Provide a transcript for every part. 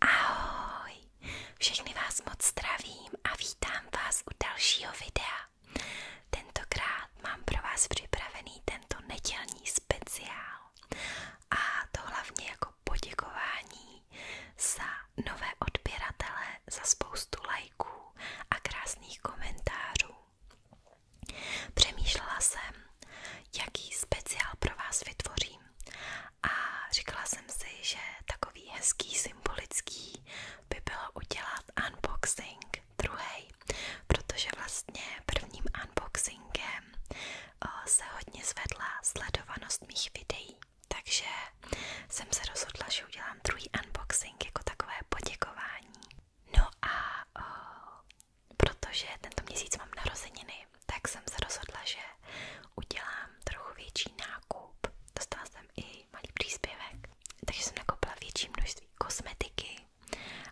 Ahoj, všechny vás moc zdravím a vítám vás u dalšího videa. Tentokrát mám pro vás připravený tento nedělní speciál a to hlavně jako poděkování za nové odběratele, za spoustu lajků a krásných komentářů. Přemýšlela jsem, jaký speciál pro vás vytvořím a říkala jsem si, že takový hezký, symbolický by bylo udělat unboxing druhý, protože vlastně prvním unboxingem eh, se hodně zvedla sledovanost mých videí. Takže jsem se rozhodla, že udělám druhý unboxing jako takové poděkování. No a o, protože tento měsíc mám narozeniny, tak jsem se rozhodla, že udělám trochu větší nákup. Dostala jsem i malý příspěvek, takže jsem nakoupila větší množství kosmetiky,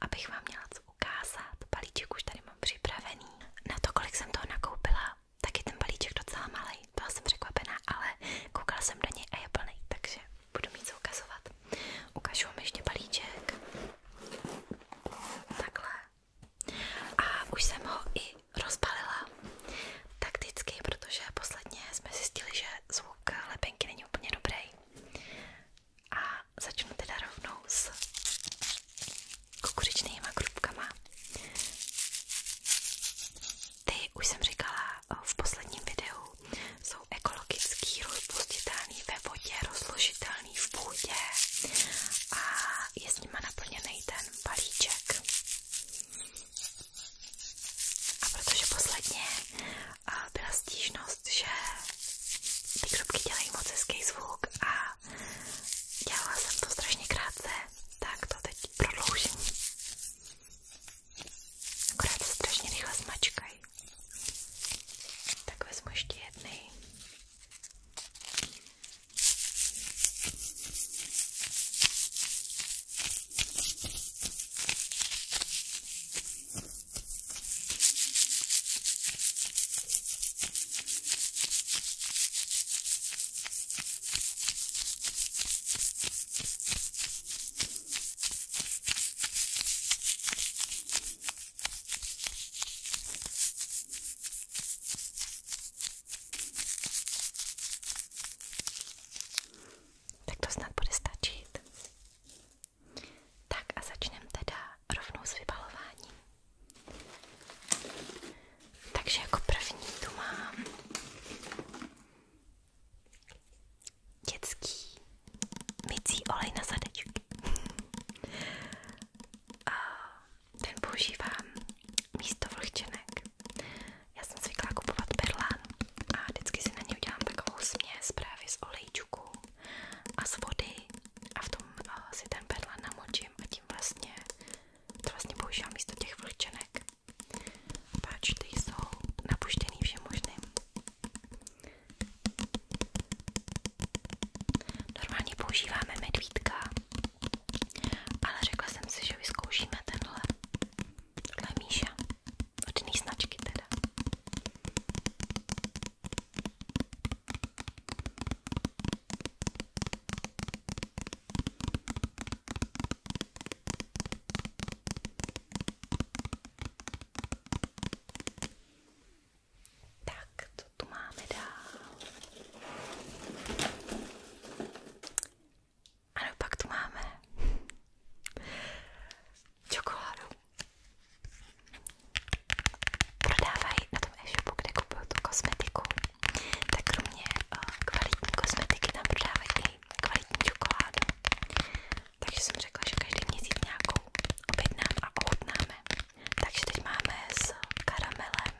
abych vám měla co ukázat. Balíček už tady mám připravený. Na to, kolik jsem toho nakoupila, tak je ten balíček docela malý. Byla jsem překvapená, ale koukala jsem do něj a je plný, takže budu mít co ukazovat. Ukážu vám ještě balíček. Takhle. A už jsem ho i rozbalila takticky, protože posledně jsme zjistili, že zvuk lepenky není úplně dobrý. A začnu teda rovnou s kukuřičnýma krupkama. Ty, už jsem říkala eh, v posledním videu, jsou ekologický, rozpustitelný ve vodě, rozložitelný v půdě a je s nima naplněný ten balíček. A protože posledně eh, byla stížnost, že ty krupky dělají moc hezký zvuk a Dělala jsem to strašně krátce, tak to teď prodloužím. Akorát se strašně rychle smačkají. Tak vezmu ještě jednej. Tak to snad bude stačit. Tak a začneme teda rovnou s vybalováním. Takže jako první tu mám dětský mycí olej na zadečky. A ten používám místo vlhčenek. Já jsem zvyklá kupovat perlán a vždycky si na ně udělám takovou směs právě z olejčku a z vody a v tom eh, si ten perlán namočím a tím vlastně to vlastně používám místo těch vlhčenek. Páč, ty jsou napuštěný všem možným. Normálně používáme medvídka, ale řekla jsem si, že vyzkoušíme tenhle. Tohle je Míša, od jiný značky teda. Tak, co tu máme dál? Ano, pak tu máme čokoládu. Prodávají na tom e-shopu, kde kupuju tu kosmetiku tak kromě eh, kvalitní kosmetiky tam prodávají i kvalitní čokoládu. Takže jsem řekla, že každý měsíc nějakou objednám a ochutnáme. Takže teď máme s karamelem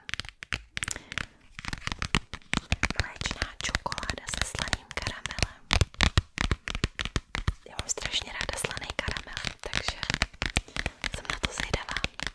mléčná čokoláda se slaným karamelem. Já mám strašně ráda slaný karamel, takže jsem na to zvědavá.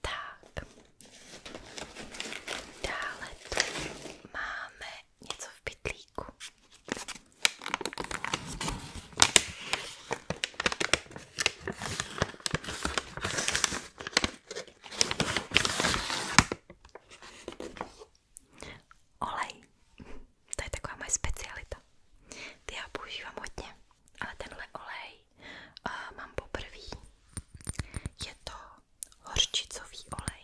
Tak, máme něco v pytlíku. Olej. To je taková moje specialita. Ty já hodně, ale tenhle olej který uh, mám poprvé, je to horčicový olej.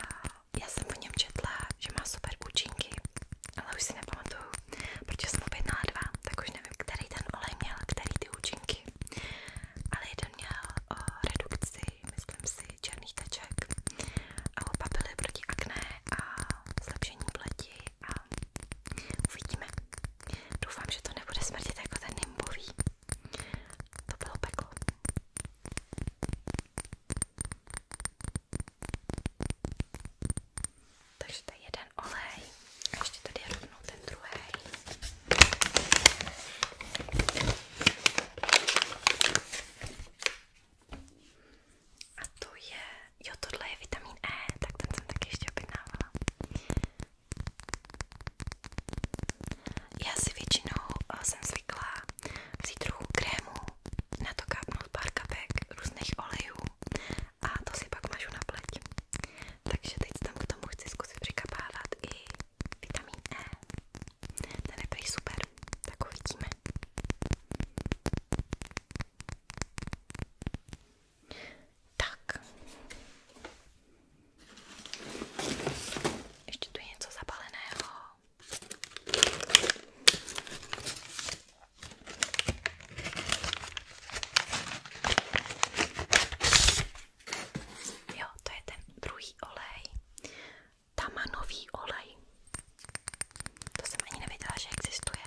Uh, já jsem o něm četla, že má super účinky, ale už si nepamatuju, protože jsem objednala dva, tak už nevím, který ten olej měl, který ty účinky. Ale jeden měl uh, redukci, myslím si, černých teček a oba byly proti akné a zlepšení pleti a uvidíme. Doufám, že to nebude smrtit jako ten nimbový. To bylo peklo. Takže to je jeden olej a ještě tady je rovnou ten druhý. A to je, jo tohle je vitamin E, tak ten jsem taky ještě objednávala. Já si většinou o, eh, jsem zvyklá vzít trochu krému, na to kápnout pár kapek různých olejů a to si pak mažu na pleť. Takže teď tam k tomu chci zkusit přikapávat i vitamin E. Ten je prý super, tak uvidíme. Tak. Ještě tu je něco zabaleného. Jo, to je ten druhý olej. Tamanový olej. To jsem ani nevěděla, že existuje.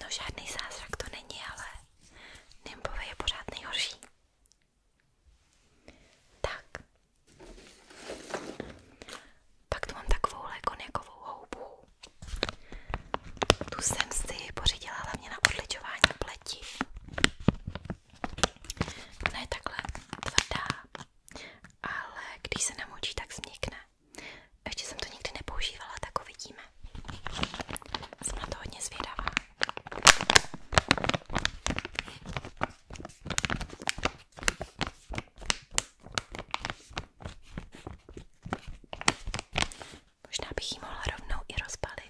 No žádný zázrak to není, ale Nimbové je pořád nejhorší. Tak. Pak tu mám takovou konjakovou houbu. Tu jsem si pořídila hlavně na odličování pleti. Ona je takhle tvrdá ale když se namočí, tak změkne. Ještě jsem to nikdy nepoužívala, tak uvidíme. Jsem na to hodně zvědavá. Možná bych ji mohla rovnou i rozbalit.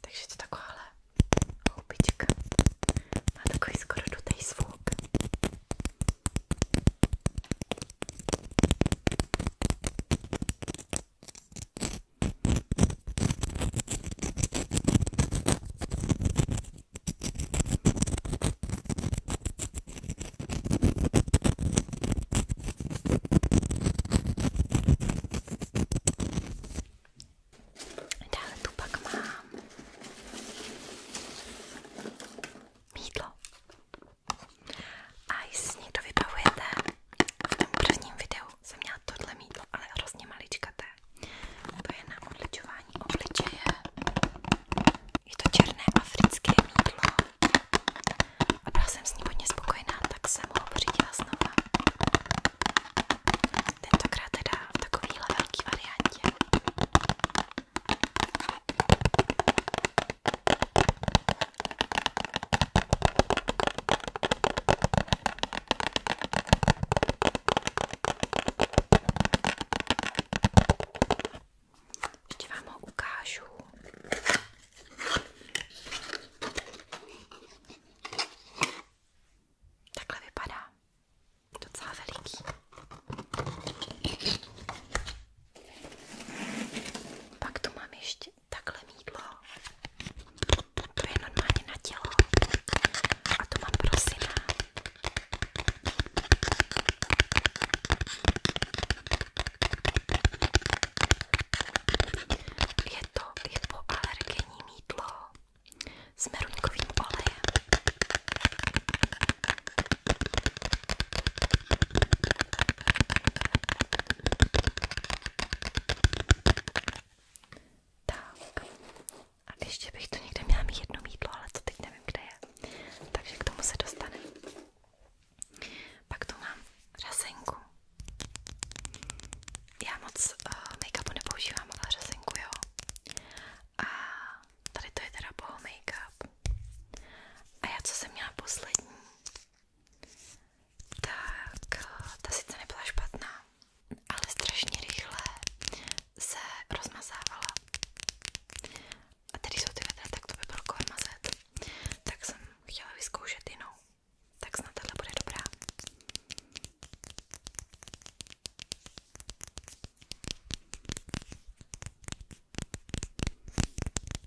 Takže to takováhle houbička. Má takový skoro dutej zvuk. Dále tu pak mám mídlo. A jestli někdo vybavujete v prvním videu jsem měla tohle mítlo, ale hrozně maličkaté. To je na odličování obličeje. Je to černé africké mítlo. A byla jsem s ním hodně spokojená, tak jsem ho pořídila znova. Tentokrát teda v takovýhle velký variantě. Ještě vám ho ukážu. Takhle vypadá. Docela veliký. Pak tu mám ještě takhle mídlo. To je normálně na tělo. A to mám prosina. Je to je po alergenní mídlo s meruňkovým olejem. Tak. A ještě bych tu někde měla mít jedno mídlo, ale to teď nevím, kde je. Takže k tomu se dostaneme. Pak tu mám řasenku. Já moc uh, make-upu nepoužívám, ale řasenku jo. A tady to je teda boho make-up. A já co jsem měla poslední, tak eh, ta sice nebyla špatná, ale strašně rychle se rozmazávala. A tady jsou ty vedra, tak to by bylo kolem mazet. Tak jsem chtěla vyzkoušet jinou. Tak snad tahle bude dobrá.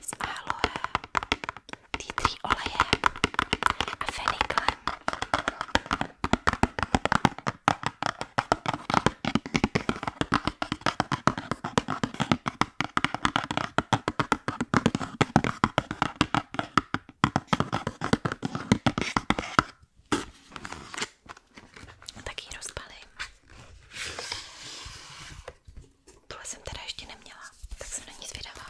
s aloe, tea tree olejem a feniklem. Tak ji rozpalím. Tohle jsem teda ještě neměla, tak jsem na ní zvědavá.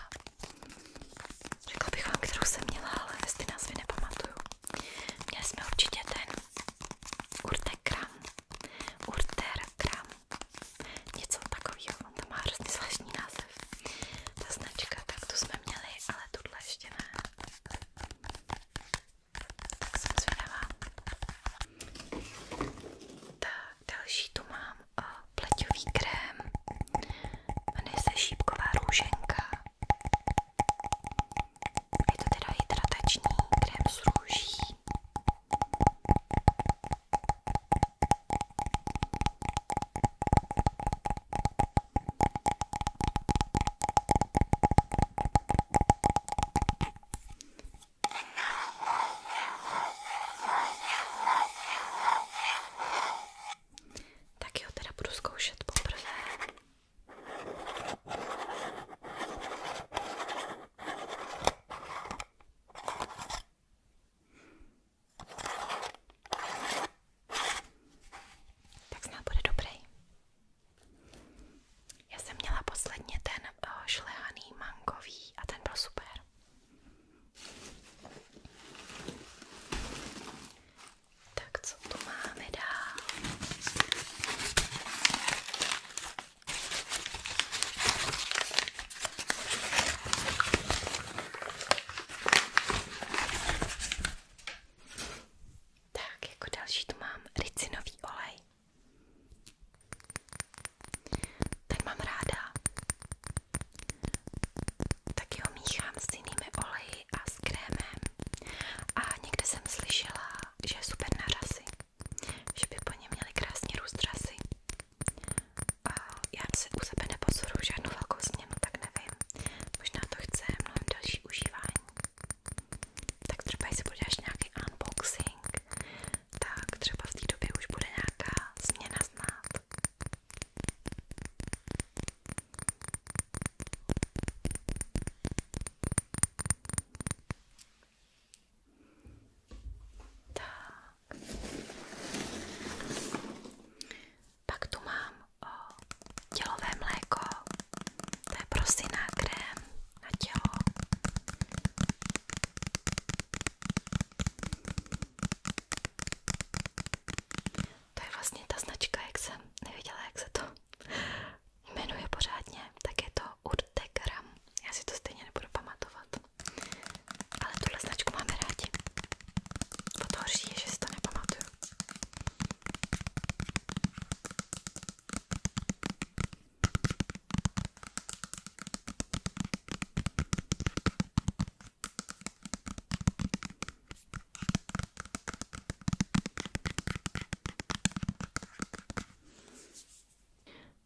Řekla bych vám, kterou jsem měla, ale ty názvy nepamatuju. Měli jsme určitě ten Urtekram, Urterkram, něco takového, on tam má hrozně zvláštní název. Ta značka, tak tu jsme měli, ale tuhle ještě ne. Tak jsem zvědavá. Tak, Další tu mám eh, pleťový krém, jmenuje se šípková růženka. Je to teda hydratační krém s růží. Tak jo, teda budu zkoušet poprvé. Tak snad bude dobrý. Já jsem měla posledně ten eh, šlehaný mankový a ten byl super. Tak co tu máme dál? Tak, jako další tu mám ricinový olej. Ten mám ráda. Taky ho míchám s jinými oleji a s krémem. A někde jsem slyšela, že je super na řasy. Že by po něm měly krásně růst řasy. A já si u sebe nepozoruju žádnou velkou změnu, tak nevím. Možná to chce mnohem další užívání. Tak třeba, jestli budeš nějaký unboxing, tak třeba v té době už bude nějaká změna znát. Tak. Pak tu mám o, tělové mléko, to je prosiná krém na tělo. To je vlastně ta značka, jak jsem nevěděla, jak se to jmenuje pořádně, tak je to Urtegram. Já si to stejně nebudu pamatovat. Ale tuhle značku máme rádi. Bo to horší je, že si to nepamatuju.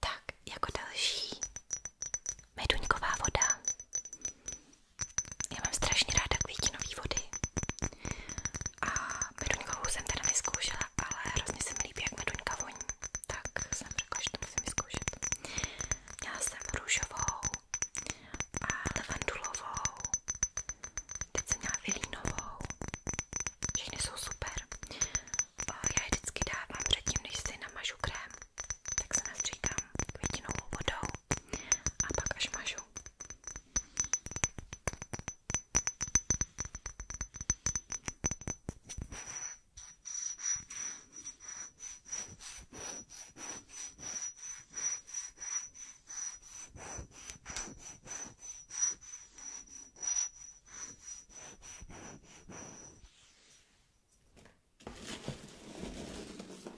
Tak, jako další meduňková voda. Já mám strašně ráda květinové vody a meduňkovou jsem teda vyzkoušela ale hrozně se mi líbí, jak meduňka voní, tak jsem řekla, že to musím vyzkoušet. Měla jsem růžovou a levandulovou, teď jsem měla vilínovou, všechny jsou super. Já je vždycky dávám předtím, než si namažu krém, tak se nastříkám květinovou vodou a pak až mažu.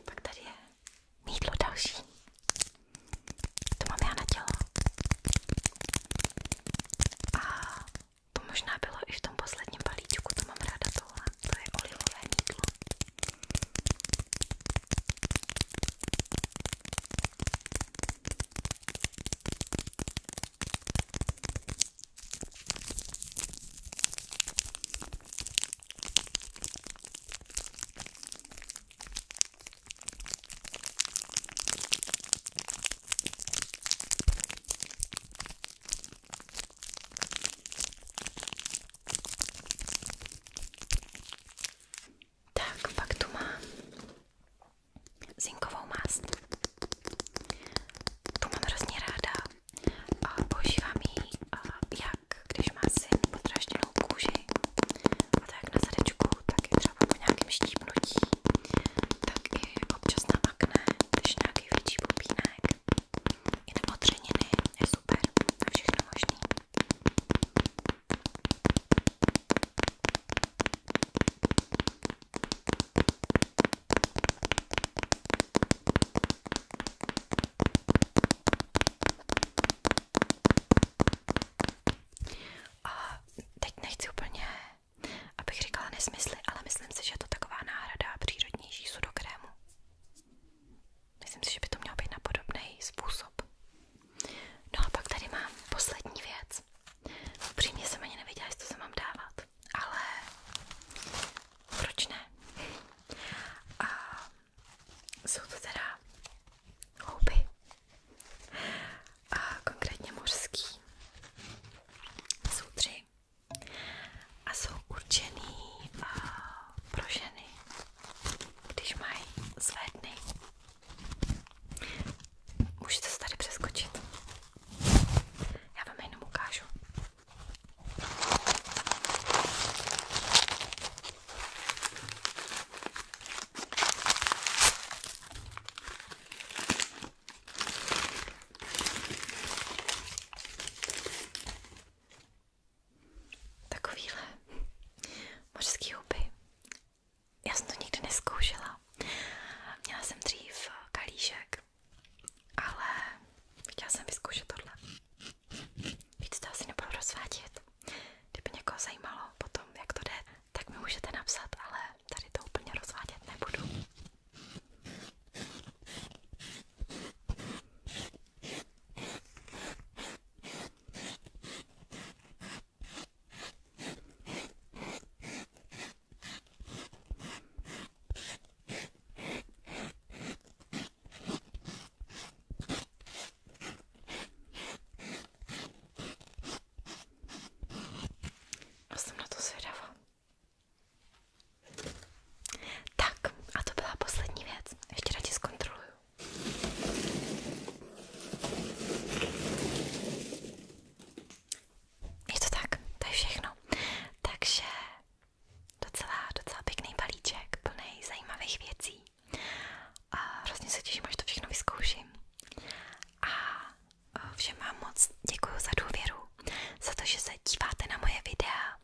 Tak tady je mýdlo další. To mám já na tělo. A to možná bylo i v tom posledním balíčku, to mám ráda tohle. To je olivové mýdlo. Tak, pak tu mám zinkovou mast. Tu mám hrozně ráda a používám ji a jak když má syn podražděnou kůži a tak na zadečku, tak je třeba po nějakém štípnutí, tak i občas namakne, když nějaký větší pupínek. I na potřeniny je super, na všechno možný. A teď nechci úplně, abych říkala nesmysly, ale myslím si, že je to taková náhrada přírodnější sudokrému. Myslím si, že by to mělo být na podobný způsob. No a pak tady mám poslední věc. Upřímně jsem ani nevěděla, jestli to se mám dávat, ale proč ne? A jsou to teda houby a konkrétně mořský. Jsou tři a jsou určený pro ženy, když mají své dny. Můžete se tady přeskočit. Já vám jenom ukážu. Takovýhle mořský huby. Já jsem to nikdy neskoušela. Měla jsem dřív kalíšek, ale chtěla jsem vyzkoušet tohle. Víc to asi nebudu rozvádět. Kdyby někoho zajímalo potom, jak to jde, tak mi můžete napsat, ale tady to úplně rozvádět nebudu. A jsem na to zvědavá. Tak, a to byla poslední věc. Ještě radši zkontroluju. Je to tak, to je všechno. Takže docela, docela pěkný balíček, plný zajímavých věcí a hrozně se těším, až to všechno vyzkouším. A e, všem vám moc děkuji za důvěru, za to, že se díváte na moje videa,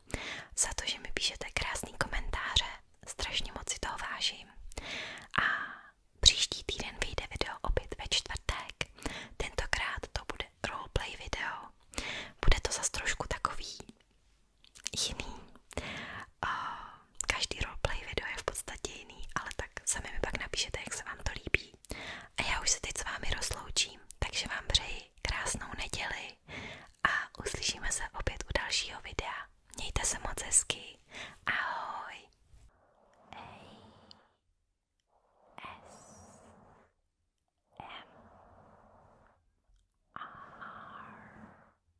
za to, že mi píšete krásný komentáře, strašně moc si toho vážím. A příští týden vyjde video opět ve čtvrtek, tentokrát to bude roleplay video, bude to zas trošku takový jiný, každý roleplay video je v podstatě jiný, ale tak sami mi pak napíšete, jak se vám to líbí. A já už se teď s vámi rozloučím, takže vám přeji krásnou neděli a uslyšíme se opět u dalšího videa. Mějte se moc hezky. Ahoj. A S M R